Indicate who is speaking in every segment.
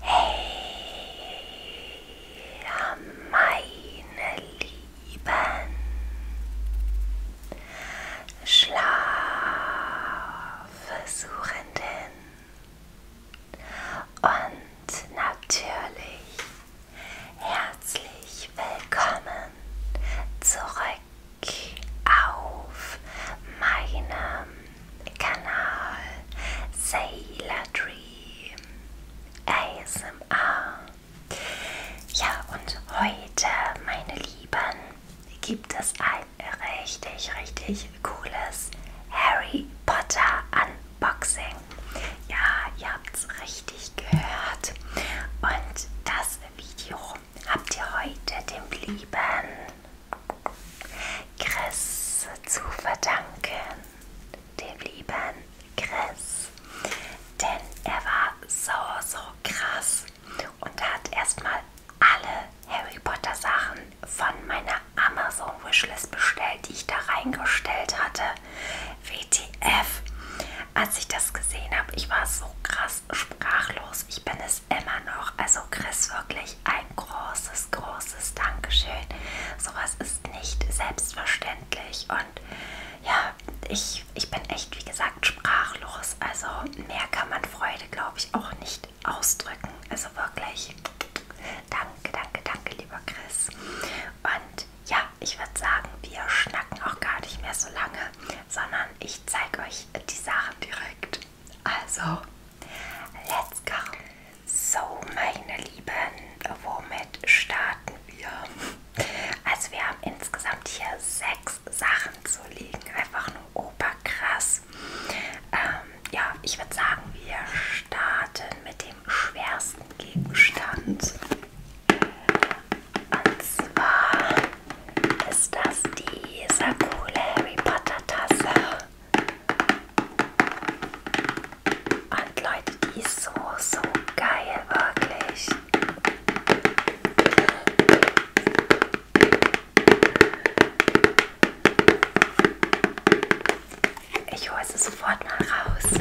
Speaker 1: Hey, ja, meine Lieben, Schlafsuchenden und natürlich herzlich willkommen zurück auf meinem Kanal Sailor Dream ASMR. Ja, und heute, meine Lieben, gibt es ein richtig, richtig cooles Harry Potter Unboxing. Ja, ihr habt es richtig gehört. Und das Video Spruch habt ihr heute dem lieben Chris zu verdanken. Dem lieben Chris. Denn er war so, so krass und hat erstmal alle Harry Potter Sachen von meiner Amazon Wishlist bestellt, die ich da reingestellt hatte. WTF als ich das gesehen habe, ich war so krass sprachlos. Ich bin es immer noch. Also Chris, wirklich ein großes, großes Dankeschön. Sowas ist nicht selbstverständlich. Und ja, ich, ich bin echt, wie gesagt, sprachlos. Also mehr kann man Freude, glaube ich, auch nicht ausdrücken. Also wirklich, danke, danke, danke, lieber Chris. Und ja, ich würde sagen, wir schnacken auch gar nicht mehr so lange, sondern ich ich zeige euch die Sachen direkt. Also, let's go. So, meine Lieben, womit starten wir? Also, wir haben insgesamt hier sechs Sachen zu liegen. Einfach nur oberkrass. Ähm, ja, ich würde sagen, wir starten mit dem schwersten Gegenstand. Und zwar ist das diese coole Harry Potter Tasse. Und Leute, die ist so, so geil, wirklich. Ich hole sie sofort mal raus.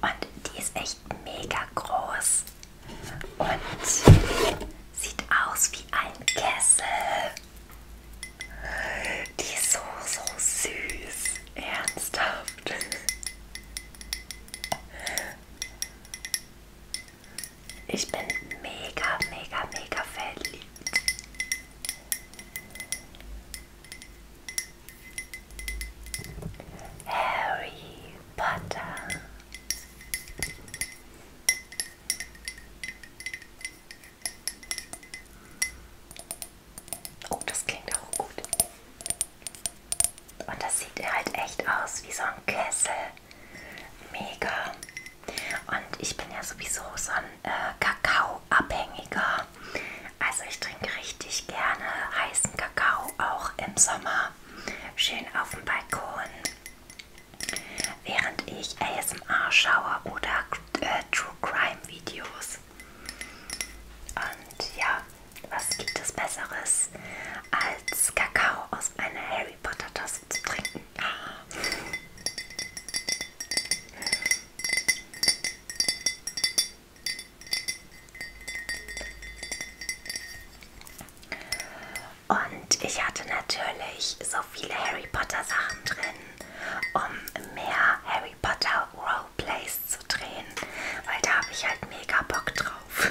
Speaker 1: Und die ist echt mega groß und sieht aus wie ein Kessel. Die ist so, so süß. Ernsthaft. Ich bin mega, mega, mega verliebt. Harry Potter. Oh, das klingt auch gut. Und das sieht halt echt aus wie so ein Kessel. Mega. Und ich bin ja sowieso so ein äh, Kakao-Abhängiger. Also ich trinke richtig gerne heißen Kakao, auch im Sommer. Schön auf dem Balkon. Während ich ASMR schaue oder äh, True Crime Videos. Und ja, was gibt es Besseres als Kakao aus einer Harry Potter Tasse zu trinken? Ah. Und ich hatte natürlich so viele Harry Potter Sachen drin, um mehr Harry Potter Roleplays zu drehen, weil da habe ich halt mega Bock drauf.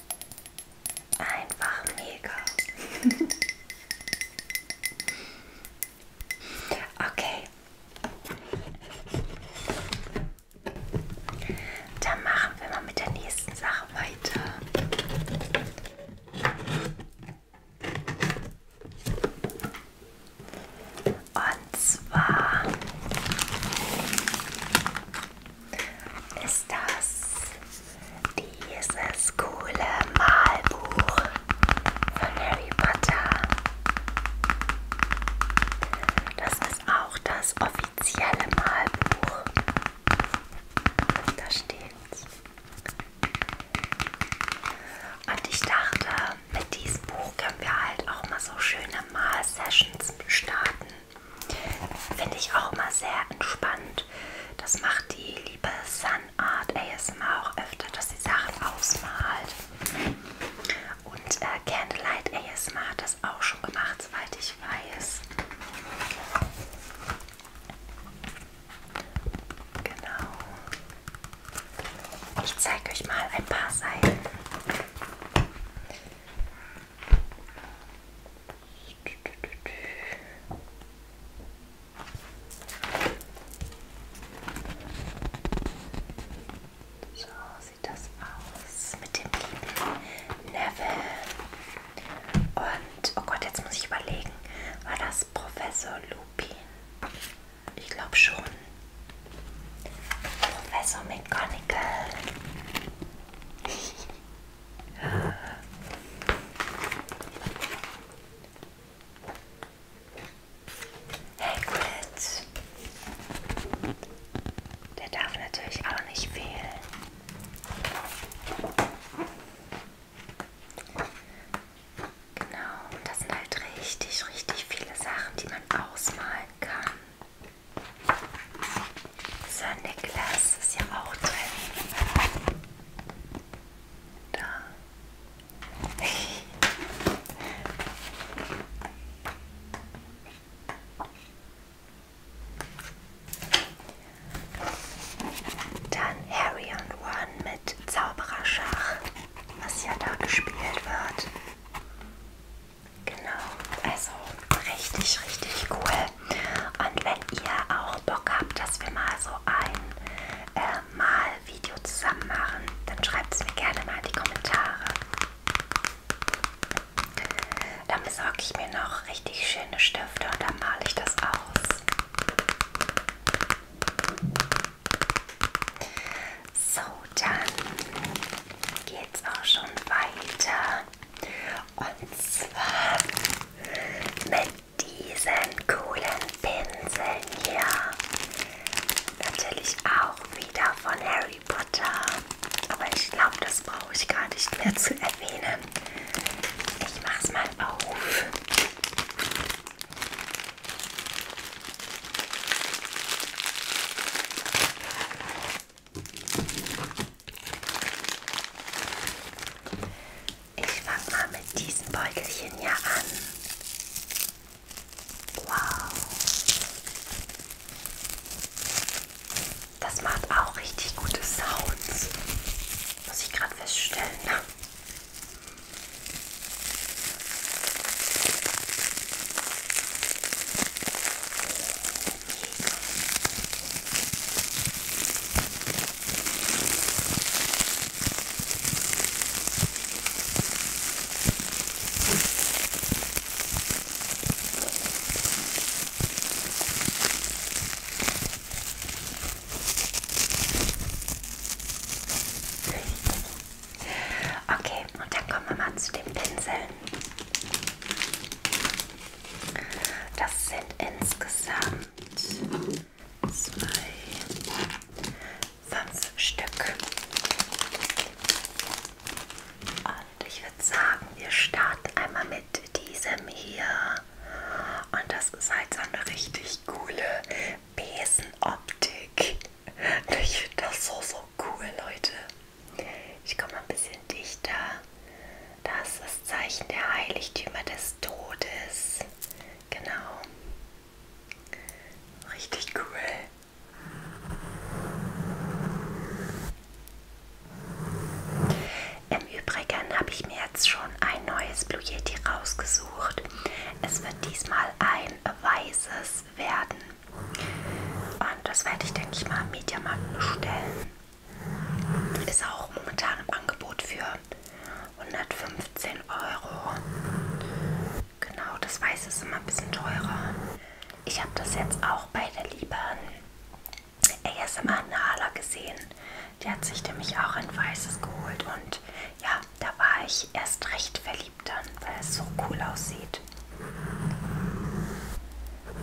Speaker 1: Einfach mega. okay. Dann machen wir mal mit der nächsten Sache weiter. Und zwar ist das dieses coole Malbuch von Harry Potter. Das ist auch das offizielle Malbuch. Da steht's. Und ich dachte, mit diesem Buch können wir halt auch mal so schöne Mal-Sessions starten. Finde ich auch mal sehr entspannt. Das macht die liebe Sunart ASMR auch öfter, dass sie Sachen ausmalt. Und äh, Candlelight ASMR hat das auch schon gemacht, soweit ich weiß. Genau. Ich zeige euch mal ein paar Seiten. So sieht das aus mit dem lieben Neville. Und, oh Gott, jetzt muss ich überlegen, war das Professor Lupin? Ich glaube schon. Professor McGonagall. Hagrid. Der darf natürlich auch nicht fehlen. Genau, und das sind halt richtig, richtig viele Sachen, die man ausmalen kann. So, Niklas ist ja auch drin. Da. Dann Harry und Ron mit Zaubererschach, was ja da gespielt wird. Genau, also richtig, richtig cool. Und wenn ihr auch Bock habt, dass wir mal so ein äh, Mal-Video zusammen machen, dann schreibt es mir gerne mal in die Kommentare. Dann besorge ich mir noch richtig schöne Stifte und dann male ich das aus. So, dann geht's auch schon weiter. Und zwar mit diesen coolen Pinseln hier. Natürlich auch wieder von Harry Potter. Aber ich glaube, das brauche ich gar nicht mehr zu erwähnen. Ich mache es mal auf. Ich fange mal mit diesem Beutelchen hier an. Wow. Das macht auch richtig gute Sounds. Muss ich gerade feststellen. Ne? Okay, und dann kommen wir mal zu den Pinseln. Das sind insgesamt zwei, fünf Stück. Und ich würde sagen, wir starten einmal mit diesem hier. Und das ist halt so eine richtig coole Besenoptik. Ich finde das so, so cool, Leute. Ich komme ein bisschen dichter. Das ist Zeichen der Heiligtümer des Todes. Genau. Richtig cool. Im Übrigen habe ich mir jetzt schon ein neues Blue Yeti rausgesucht. Es wird diesmal ein weißes werden. Und das werde ich, denke ich mal, im Mediamarkt bestellen. Ist auch momentan im Angebot für 115 Euro. Genau, das Weiß ist immer ein bisschen teurer. Ich habe das jetzt auch bei der lieben ASMR Nala gesehen. Die hat sich nämlich auch ein weißes geholt und ja, da war ich erst recht verliebt dann, weil es so cool aussieht.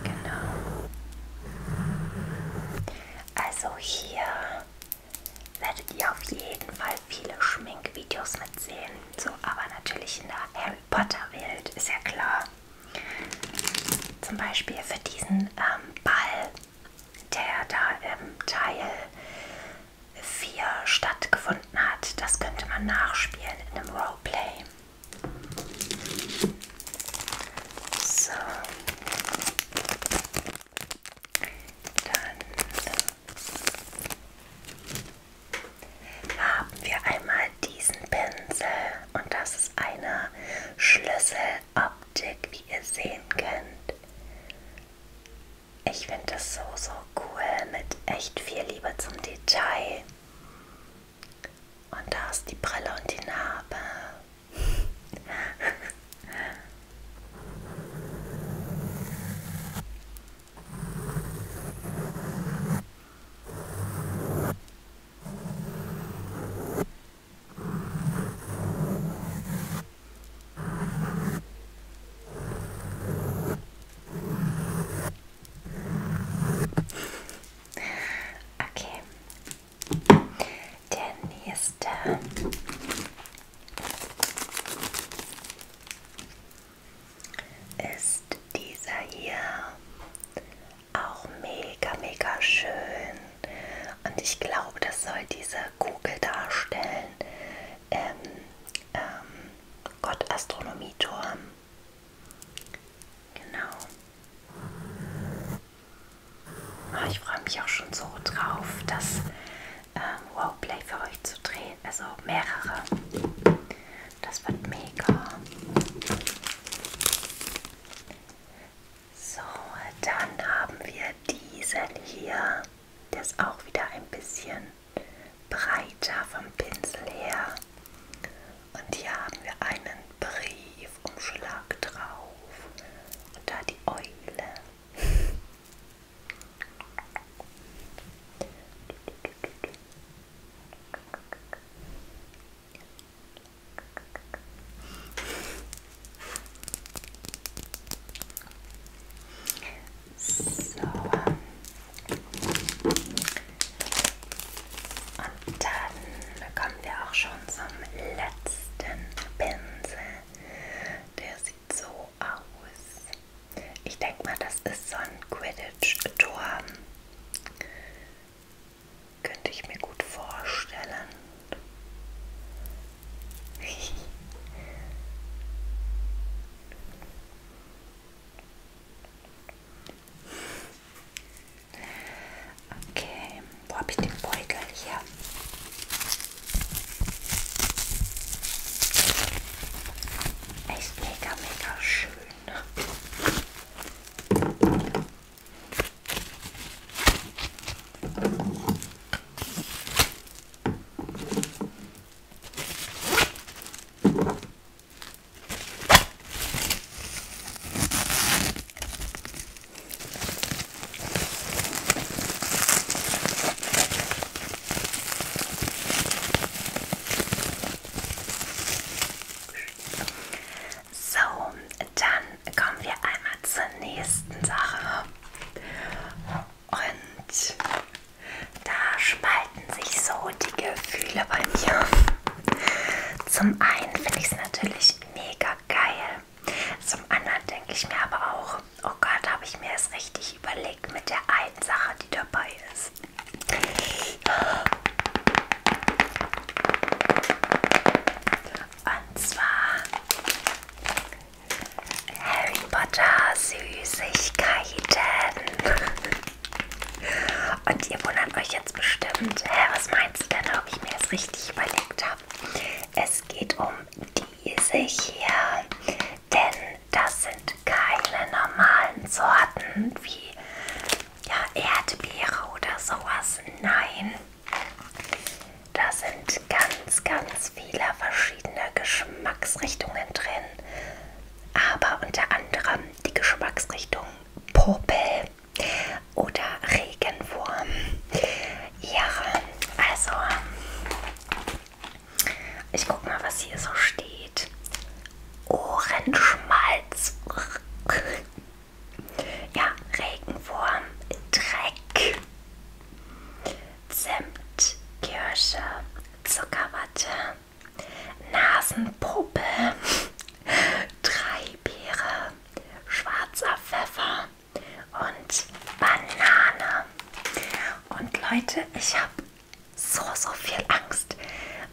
Speaker 1: Genau. Also hier werdet ihr auf jeden Fall viele Schminkvideos mitsehen. So, aber natürlich in der Harry Potter Welt, ist ja klar. Zum Beispiel für diesen ähm, Ball, der da im Teil 4 stattgefunden hat. Das könnte man nachspielen in einem Roleplay. So. Dann äh, haben wir einmal diesen Pinsel und das ist eine Schlüsseloptik, wie ihr sehen könnt. Ich finde das so, so cool mit echt viel Liebe zum Detail. Und da ist die Brille und die Narbe. Okay, der nächste. Ist dieser hier auch mega, mega schön. Und ich glaube, das soll diese Kugel darstellen. Ähm, ähm, Gott Astronomieturm. Genau. Ah, ich freue mich auch schon so drauf, das ähm, Roleplay für euch zu drehen. Also mehrere. Das wird mega. So, dann haben wir diesen hier. Der ist auch wieder ein bisschen breiter vom Pinsel her. Und hier haben wir einen Brie Briefumschlag drauf und da die Eule. So. Und dann kommen wir auch schon zum letzten Pinsel. Der sieht so aus. Ich denke mal, das ist so ein Quidditch-Turm. Könnte ich mir gut vorstellen. Okay, wo habe ich den Beutel hier? Echt mega, mega schön. So, dann kommen wir einmal zur nächsten Sache. Und da spalten sich so die Gefühle bei mir. Zum einen finde ich es natürlich mega geil. Zum anderen denke ich mir aber auch, oh Gott, habe ich mir das richtig überlegt mit der einen Sache, die dabei ist. Und zwar Harry Potter Süßigkeiten. Und ihr wundert euch jetzt bestimmt, hä, was meinst du denn ob ich mir das richtig überlegt habe. Es geht um diese hier, denn das sind keine normalen Sorten wie ja, Erdbeere oder sowas. Nein, da sind ganz, ganz viele verschiedene Geschmacksrichtungen drin. Aber unter anderem die Geschmacksrichtung Popel oder Regenwurm. Ja, also ich guck mal, was hier so steht. Ohrenschmalz. Ja, Regenwurm, Dreck, Zimt, Kirsche, Zuckerwatte, Nasenpuppe, Drei Beere, schwarzer Pfeffer und Banane. Und Leute, ich habe so, so viel Angst,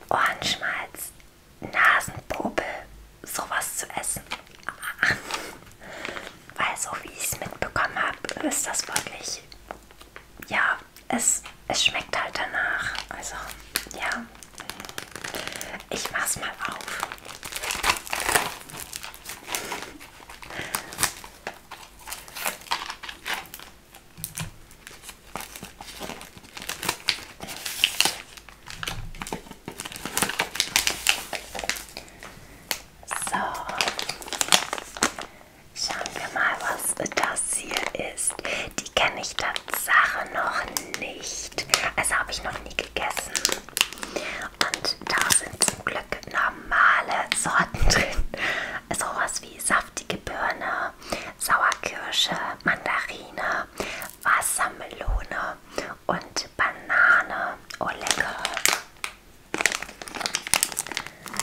Speaker 1: Ohrenschmalz, Nasenpopel, sowas zu essen. Weil so wie ich es mitbekommen habe, ist das wirklich, ja, es, es schmeckt halt danach. Also, ja, ich mach's mal auf. So, schauen wir mal, was das hier ist. Die kenne ich tatsächlich noch nicht. Also habe ich noch nie gegessen. Und da sind zum Glück normale Sorten drin. Also was wie saftige Birne, Sauerkirsche, Mandarine, Wassermelone und Banane. Oh lecker.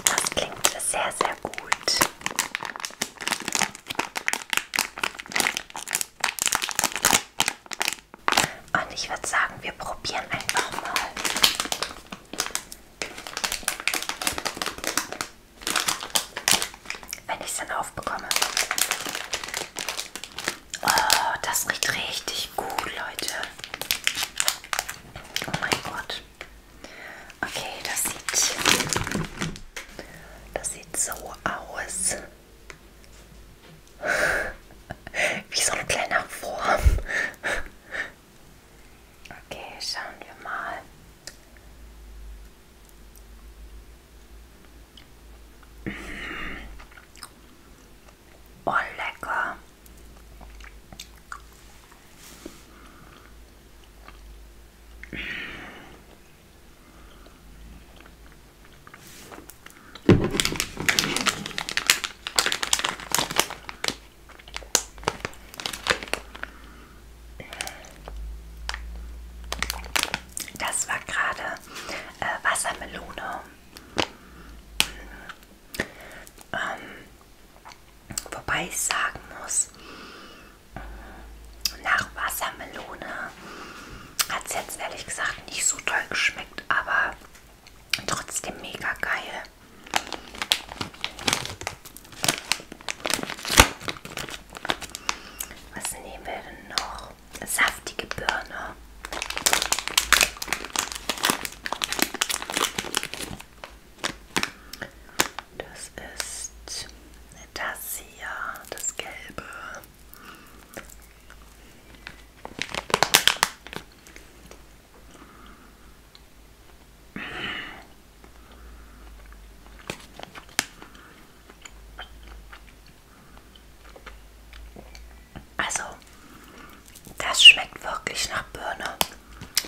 Speaker 1: Das klingt sehr, sehr gut. Und ich würde sagen, wir probieren einfach mal. Wenn ich es dann aufbekomme. Oh, das riecht richtig gut, Leute. Oh mein Gott. Okay, das sieht. Das sieht so aus. Wie so ein kleiner Wurm. Okay, schauen wir mal. Oh, lecker. Das war gerade äh, Wassermelone. Ähm, wobei ich sagen muss, nach Wassermelone hat es jetzt ehrlich gesagt nicht so toll geschmeckt, aber trotzdem mega geil. Was nehmen wir denn noch? Saftige Birne. Das ist das hier, das Gelbe. Also, das schmeckt wirklich nach Birne.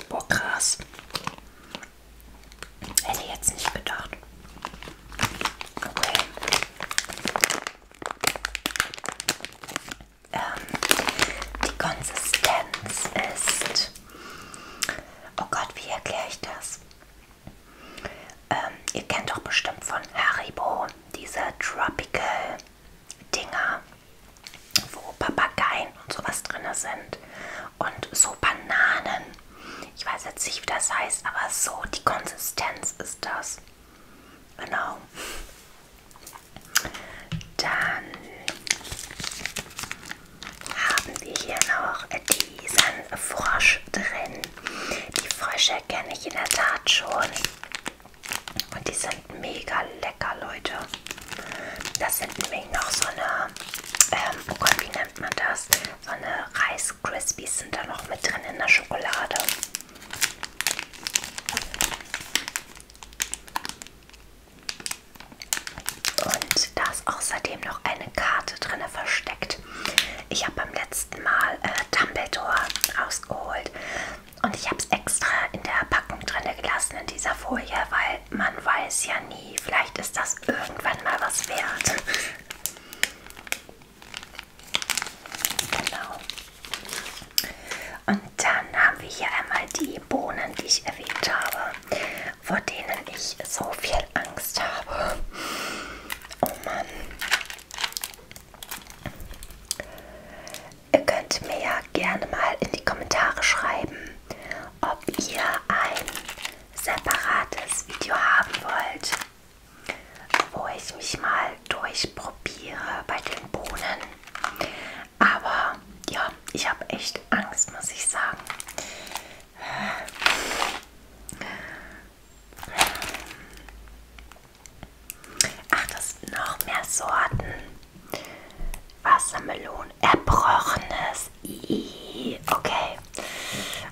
Speaker 1: Boah, krass. Hätte ich jetzt nicht gedacht. Okay. Ähm, die Konsistenz ist. Oh Gott, wie erkläre ich das? Ähm, ihr kennt doch bestimmt von Haribo diese Tropical Dinger, wo Papageien und sowas drin sind. Und so Bananen ich weiß jetzt nicht, wie das heißt, aber so die Konsistenz ist das. Genau. Dann haben wir hier noch diesen Frosch drin. Die Frösche kenne ich in der Tat schon. Und die sind mega lecker, Leute. Das sind nämlich noch so eine, ähm, oh Gott, wie nennt man das? So eine Reis Rice Krispies sind da noch mit drin in der Schokolade. Und da ist außerdem noch eine Karte drin versteckt. Ich habe beim letzten Mal äh, Dumbledore rausgeholt und ich habe es extra in der Packung drin gelassen, in dieser Folie, weil man weiß ja nie, vielleicht ist das irgendwann mal was wert. Genau. Und dann haben wir hier einmal die Bohnen, die ich erwähnt habe, vor denen ich so viel Angst habe. Oh Mann. Ihr könnt mir ja gerne mal in die Kommentare schreiben, ob ihr ein separates Video haben wollt wo ich mich mal durchprobiere bei den Bohnen. Aber ja, ich habe echt Angst, muss ich sagen. Ach, das sind noch mehr Sorten. Wassermelon, erbrochenes. I, okay.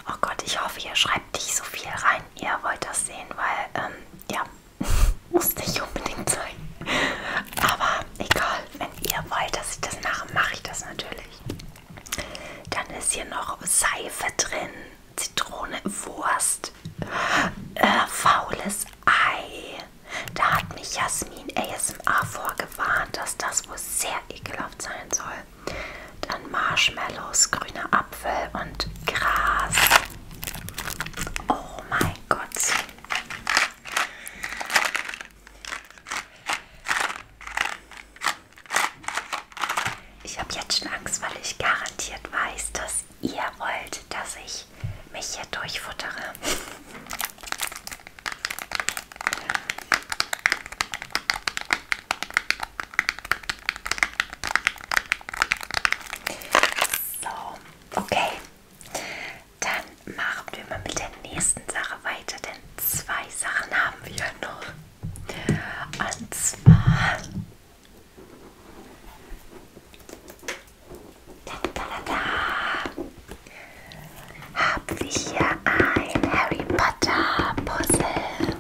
Speaker 1: Oh Gott, ich hoffe, ihr schreibt nicht so viel rein. Ihr wollt das sehen, weil, ähm, ja, muss nicht unbedingt sein. Aber egal, wenn ihr wollt, dass ich das mache, mache ich das natürlich. Dann ist hier noch Seife drin, Zitrone, Wurst, äh, faules Ei. Da hat mich Jasmin ASMR vorgewarnt, dass das wohl sehr ekelhaft sein soll. Dann Marshmallows, grüner Apfel und Gras. Oh mein Gott. Ich habe jetzt schon Angst, weil ich garantiert weiß, dass ihr wollt, dass ich mich hier durchfuttere. So, okay. Dann machen wir mal mit der nächsten Sache weiter, denn zwei Sachen haben wir noch. Und zwar... Da, da, da, da. Haben wir hier ein Harry Potter Puzzle.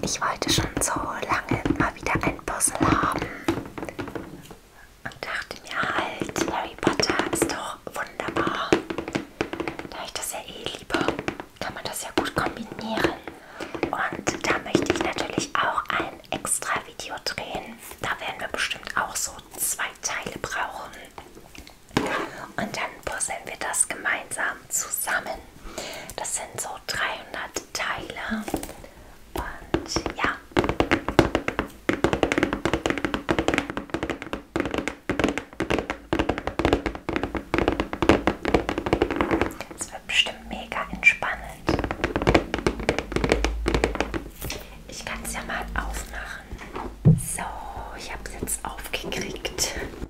Speaker 1: Ich wollte schon so lange mal wieder ein Puzzle haben und dachte mir halt, Harry Potter ist doch wunderbar. Da ich das ja eh liebe, kann man das ja gut kombinieren. Und da möchte ich natürlich auch ein extra Video drehen. Da werden wir bestimmt auch so zwei Teile brauchen. Und dann puzzeln wir das gemeinsam zusammen. Das sind so 300 Teile. Und ja. Es wird bestimmt mega entspannend. Ich kann es ja mal aufmachen. So, ich habe es jetzt aufgekriegt.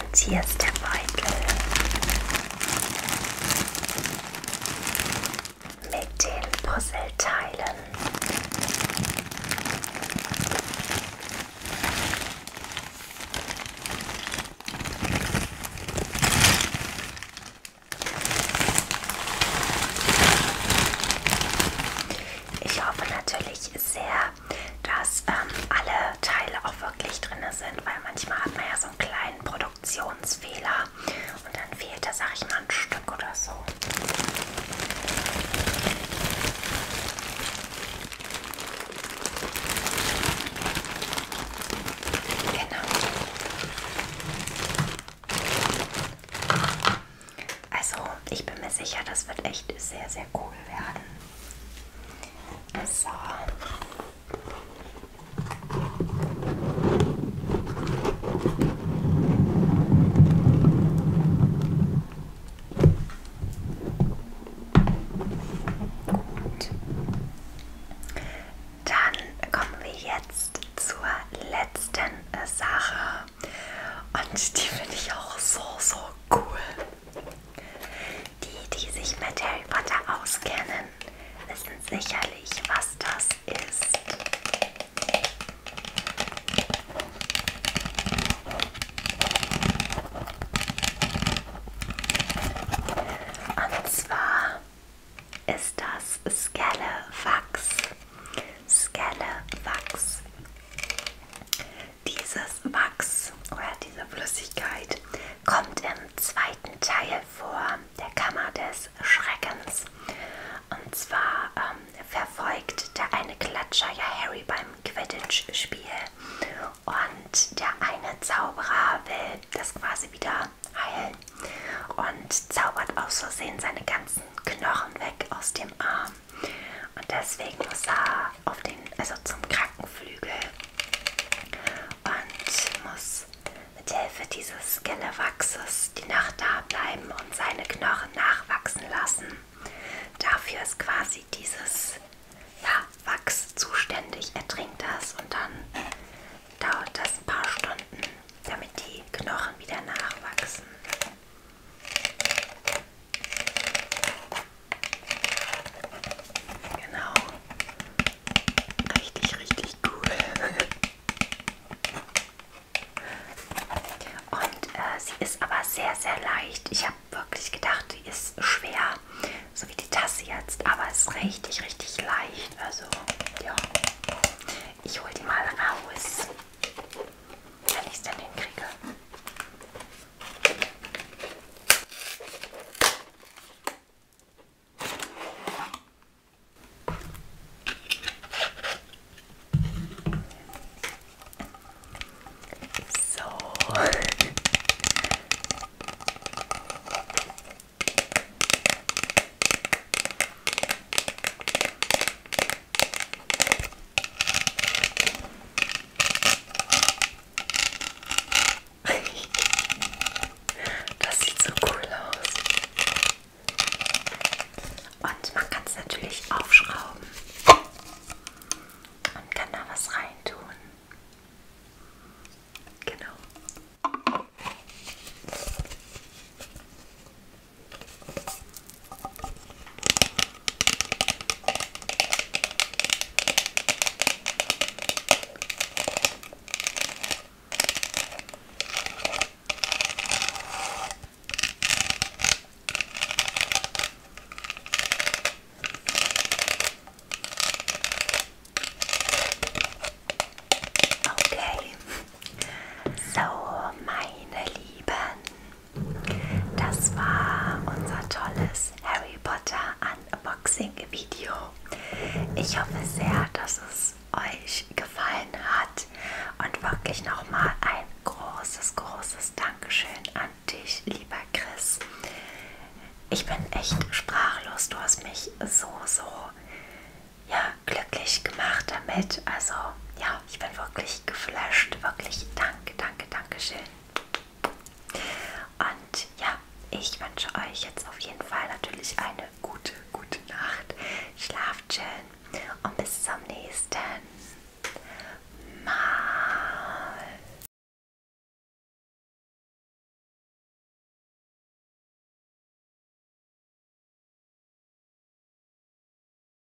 Speaker 1: Und hier ist der Beutel mit den Puzzleteilen. Ich hoffe natürlich, wichtig ist sehr, dass ähm, alle Teile auch wirklich drin sind, weil manchmal hat man ja so einen kleinen Produktionsfehler und dann fehlt da, sag ich mal, ein Stück oder so. Genau. Also ich bin mir sicher, das wird echt sehr, sehr cool werden. So. Gut. Dann kommen wir jetzt zur letzten Sache. Und die finde ich auch so, so cool. Die, die sich mit Harry Potter auskennen, wissen sicherlich, was das ist. Und zwar ist das Skelefax. Skelle Wachs. Dieses Wachs oder diese Flüssigkeit kommt im zweiten Teil vor der Kammer des Schreckens. Und zwar ähm, verfolgt der eine Klatscher ja Harry beim Quidditch-Spiel und der eine Zauberer will das quasi wieder heilen und zaubert aus Versehen seine ganzen Knochen weg aus dem Arm. Und deswegen muss er auf den, also zum Krankenflügel und muss mithilfe dieses Skellewachses die Nacht da bleiben und seine Knochen nachwachsen lassen. Dafür ist quasi dieses ja, Wachs zuständig. Er trinkt das und dann dauert das ein paar Stunden, damit die Knochen wieder nachwachsen. Genau. Richtig, richtig cool. Und äh, sie ist aber sehr, sehr leicht. Ich habe wirklich gedacht, die ist schwer. So wie die Tasse jetzt. Aber ist richtig, richtig leicht. Also, ja. Ich hole die mal raus wenn ich es denn hinkriege. So. Das sieht so cool aus. Und man kann es natürlich aufschrauben und kann da was reintun. Genau. Okay, so meine Lieben, das war unser tolles Harry Potter Unboxing Video. Ich hoffe sehr, dass es euch gefallen hat und wirklich nochmal ein großes, großes Dankeschön an dich, lieber Chris. Ich bin echt sprachlos. Du hast mich so, so ja, glücklich gemacht damit. Also ja, ich bin wirklich geflasht. Wirklich danke, danke, danke schön. Und ja, ich wünsche euch jetzt auf jeden Fall natürlich eine gute, gute Nacht. Schlaft schön und bis zum nächsten Mal.